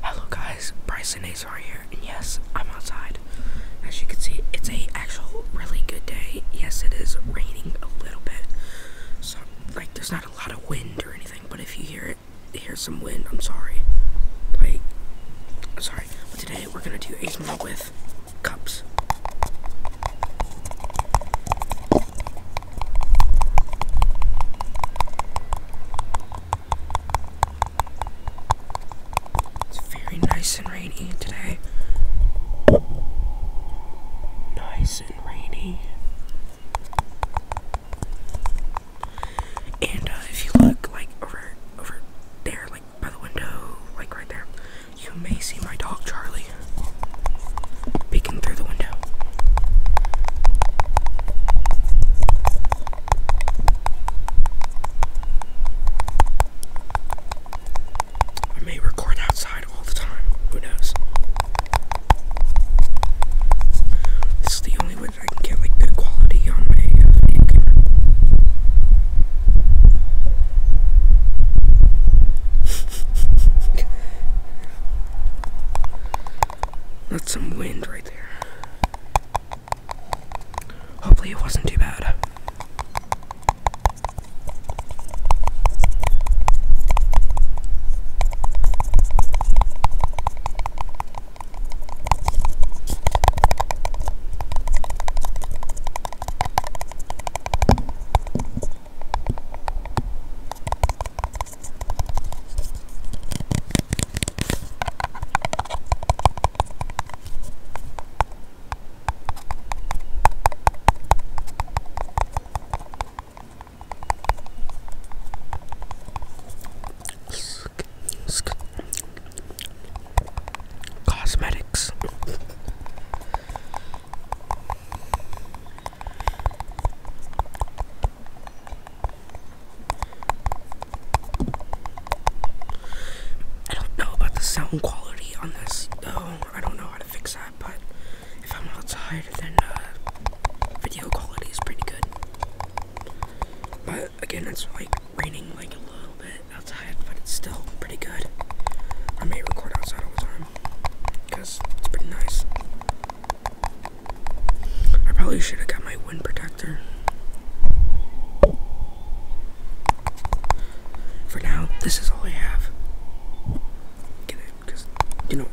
Hello guys, Bryson Azar here, and yes, I'm outside. As you can see, it's a actual really good day. Yes, it is raining a little bit, so like there's not a lot of wind or anything. But if you hear it, hear some wind, I'm sorry. Like, sorry. But today we're gonna do Ace ASMR with cups. It's very nice and rainy today. Nice and rainy. And uh, if you look like over over there, like by the window, like right there, you may see my dog Charlie through the window. I may record outside all the time, who knows? This the only way I can get like good quality on my uh, That's some wind right there. Hopefully, it wasn't too bad. Cosmetics. I don't know about the sound quality on this, though. I don't know how to fix that, but if I'm outside, then uh, video quality is pretty good. But again, it's like raining like a little bit outside, but it's still pretty good. I may record outside all the time because it's pretty nice. I probably should have got my wind protector. For now, this is all I have. Get it? Because, you know,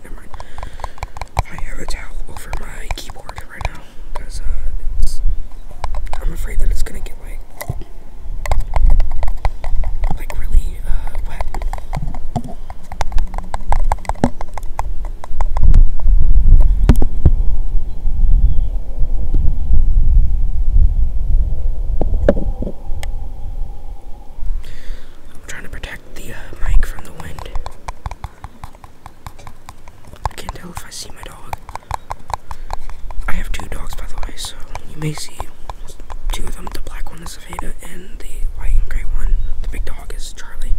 I have a towel over my keyboard right now. Because, uh, it's, I'm afraid that it's gonna get like, like really, uh, wet. I'm trying to protect the uh, mic from the wind. I can't tell if I see my dog. I have two dogs, by the way, so you may see two of them. The black one is and the white and gray one. The big dog is Charlie.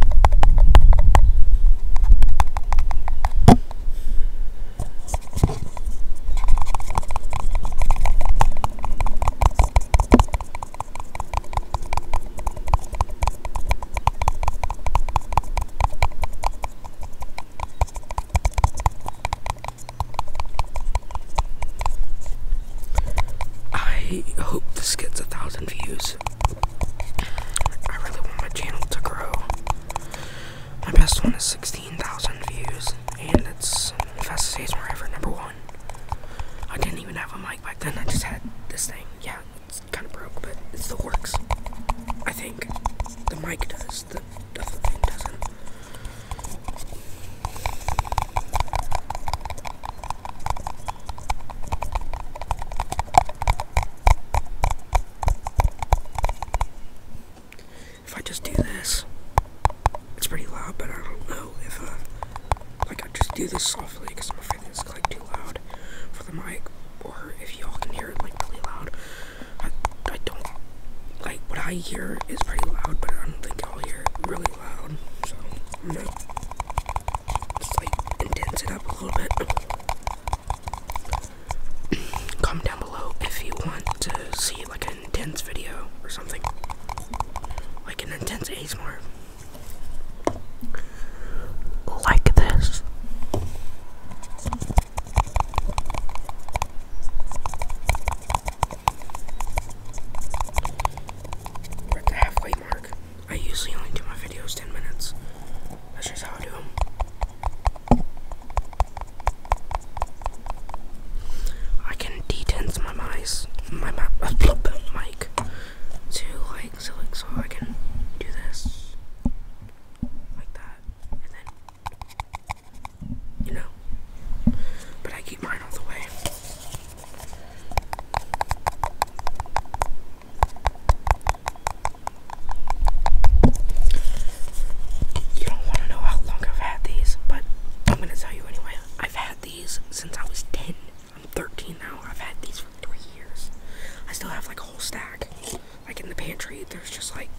I hope this gets a thousand views. I really want my channel to grow. My best one is 16,000 views, and it's fastest ASMR ever, number one. I didn't even have a mic back then, I just had this thing. Yeah, it's kind of broke, but it still works. I think. The mic does, the thing doesn't. If I just do this, it's pretty loud, but I don't know if, uh, like, I just do this softly because I'm afraid it's like too loud for the mic, or if y'all can hear it like really loud. I, don't like what I hear is pretty loud, but I don't think y'all hear it really pretty down below if you want to see like an intense video or something, like an intense ASMR like this at the halfway mark. I usually only do my videos 10 minutes. That's just how I do them. I can detense my mice, my, my mic, to like so, like so I can do this like that, and then you know. But I keep mine all the way. You don't want to know how long I've had these, but I'm going to tell you anyway. I've had these since I was 10. I'm 13 now. I've had these for three years. I still have like a whole stack. Like in the pantry, there's just like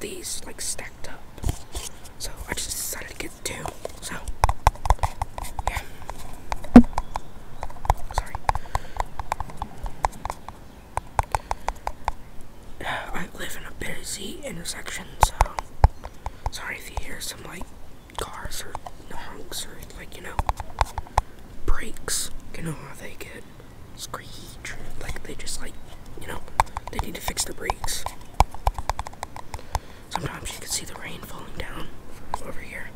these like stacked up. So I just decided to get too. So, yeah. Sorry. Uh, I live in a busy intersection, so sorry if you hear some like cars or honks or like you know brakes. You know how they get screech, like they just like you know they need to fix the brakes. Sometimes you can see the rain falling down over here.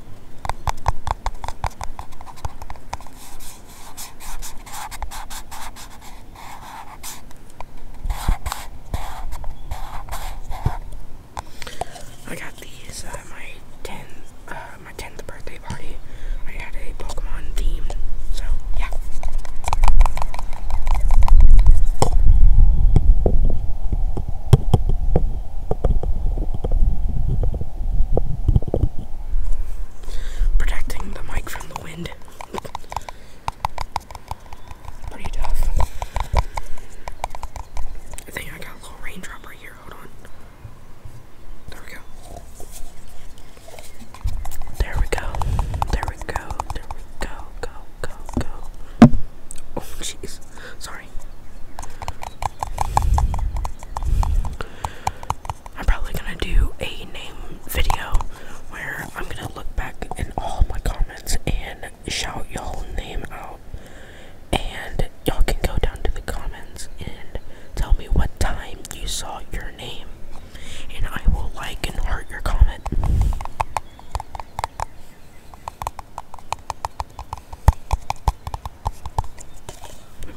I got these uh, my 10 uh, my 10th birthday party. I had a Pokemon theme. So, yeah. Protecting the mic from the wind. Pretty tough. I think I got a little raindrop right here. Hold on. There we go. There we go. There we go. There we go go, go, go. Oh, jeez. Sorry. I'm probably gonna do a name video where I'm gonna look back in all my comments and shout y'all name out. And y'all can go down to the comments and tell me what time you saw your name. And I will like and heart your comment.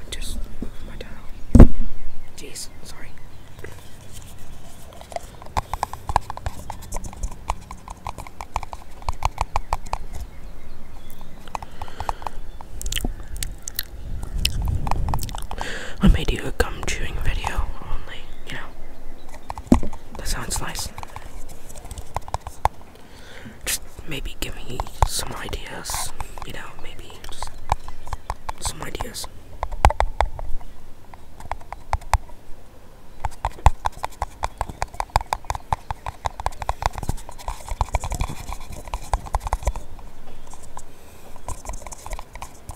Just move my dial. Jeez, sorry. I made you a gum chewing video only, you know. That sounds nice. Just maybe give me some ideas, you know, maybe just some ideas.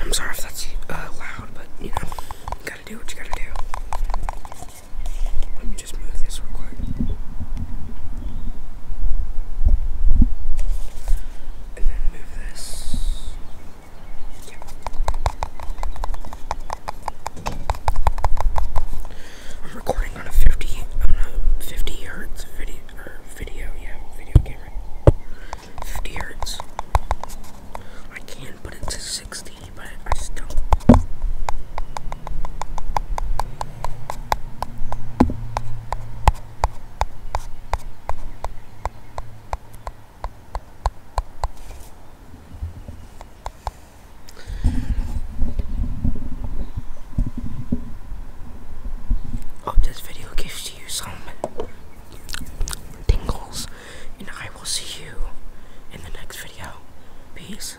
I'm sorry if that's uh, loud, but you know, you gotta do what you gotta do. Let me just move this real quick and then move this. I'm recording on a 50 on a 50 hertz video or video, yeah, video camera. 50 hertz. I can put it to 60, but I just don't. Hope this video gives you some tingles, and I will see you in the next video. Peace.